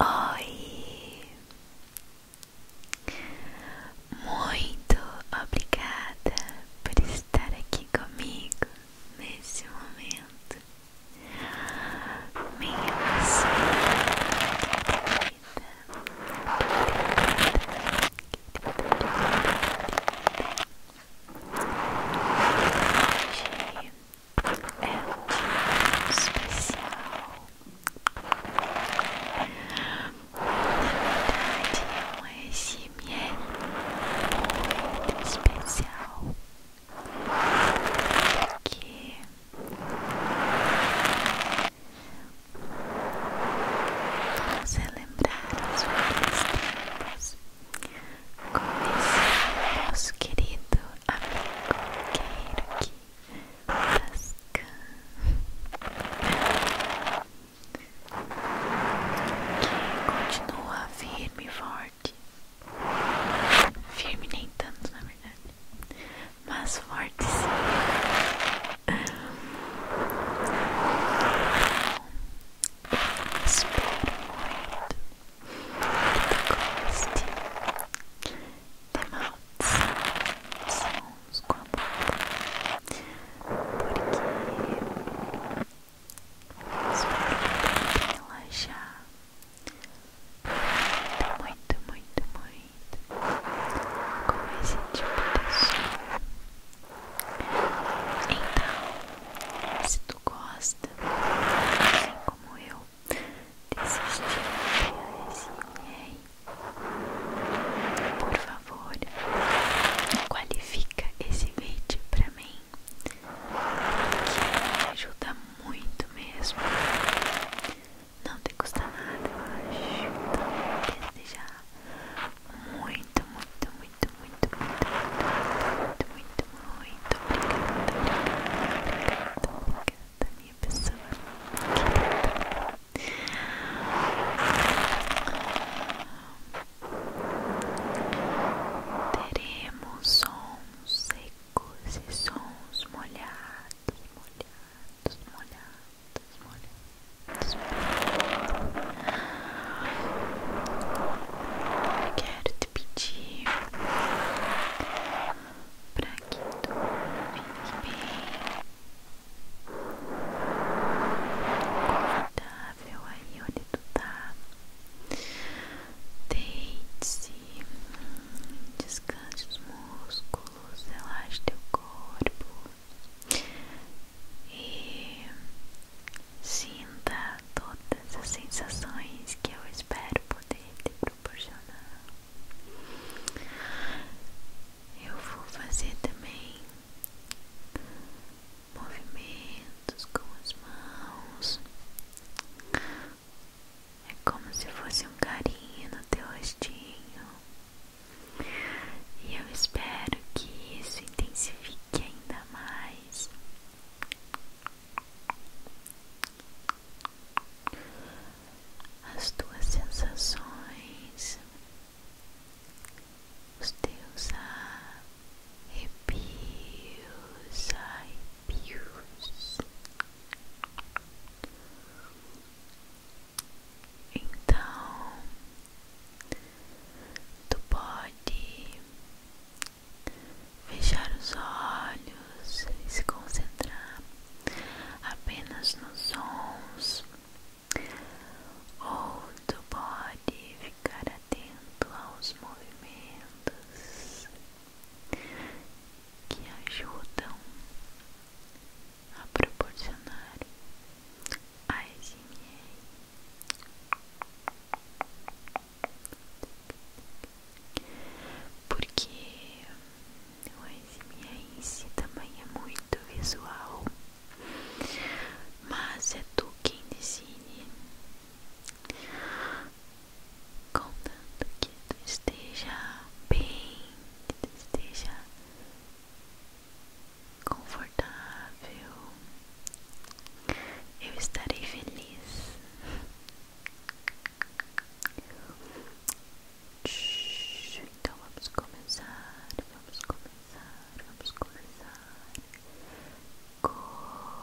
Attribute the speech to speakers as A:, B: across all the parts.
A: Oi, muito obrigada por estar aqui comigo nesse momento, minha pessoa querida, querida, querida, querida. Hoje é especial. Na verdade, é um ASMR muito especial. Porque vamos lembrar os velhos tempos com esse nosso querido amigo Queiro aqui Tascan que continua firme e forte firme nem tanto na verdade mas forte sim eu espero muito tu goste de maldição, sons com a boca, porque espero que relaxar muito, muito, muito, muito com esse tipo de som. Então, se tu gosta, assim como eu, desistiu da SNR. Por favor, qualifica esse vídeo para mim, que me ajuda muito mesmo. Não te custa nada, eu acho. Então, tá desde já, muito, muito, muito, muito, muito, muito, muito, muito obrigada, obrigada, obrigada, minha pessoa querida. Teremos sons secos e sons molhados, molhados, molhados, molhados. molhados. Quero te pedir para que tu fique bem confortável aí onde tu tá. Deite-se, descanse os músculos, relaxe teu corpo e sinta todas as sensações que eu espero poder te proporcionar. Eu vou fazer também movimentos com as mãos. É como se fosse um carinho no teu rostinho. E eu espero que isso intensifique ainda mais as tuas sensações, os teus arrepios, pius. Então, tu pode Fechar os olhos e se concentrar apenas nos sons ou tu pode ficar atento aos movimentos que ajudam a proporcionar a SMR porque o ASMR também é muito visual, mas é tu quem decide, contanto que tu esteja bem, que tu esteja confortável confortável, eu estarei feliz. Então vamos começar, vamos começar, vamos começar. Começar.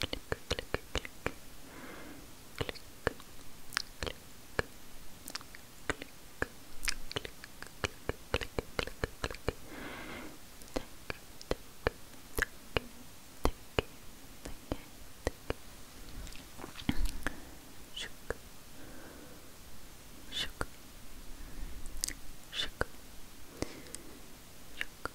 A: click, click, click, click, click. Click, click, click, click, click, click. Shook, shook, shook, shook,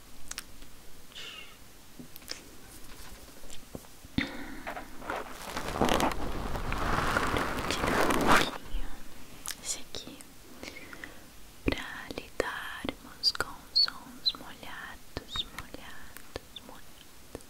A: Agora vou tirar um esse aqui para lidarmos com sons molhados, molhados, molhados.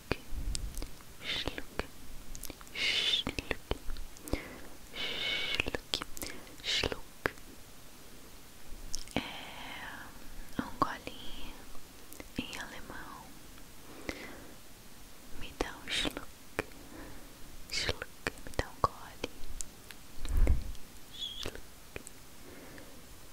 A: Schluck, schluck, schluck, schluck, É um golinho em alemão. Me dá um schluck, schluck, me dá um gole. Schluck,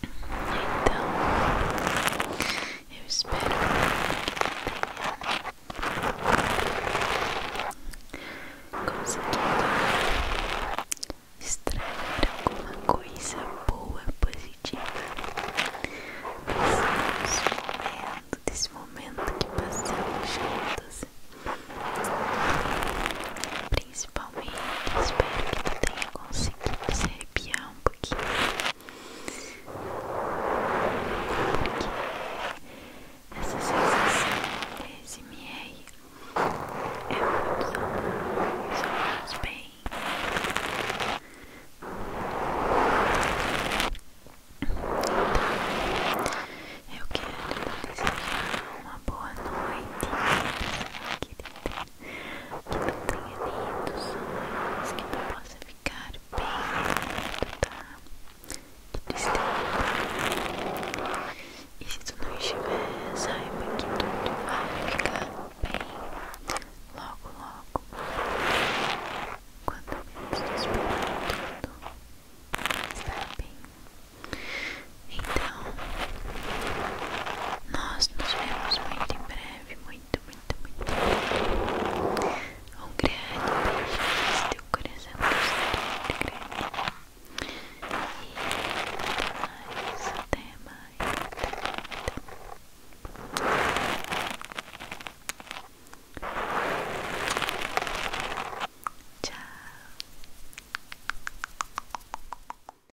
A: Então, eu espero que tenha conseguido extrair alguma coisa boa, positiva desse momento, desse momento que passamos juntos principalmente. Espero que tu tenha conseguido se arrepiar um pouquinho. Porque essa sensação de SMR é muito saudável, só faz bem. Então, eu quero desejar uma boa noite, querida que não tenha dedos, mas que tu possa ficar bem, tá? Tudo bem. E se tu não estiver, saiba que tudo vai ficar bem logo, logo. Quando menos tu esperar tudo, vai estar bem. Então, nós nos vemos muito em breve. Muito, muito, muito. Um grande beijo nesse teu coração. Grande, grande. E até mais. Até mais. Até mais. Tchau.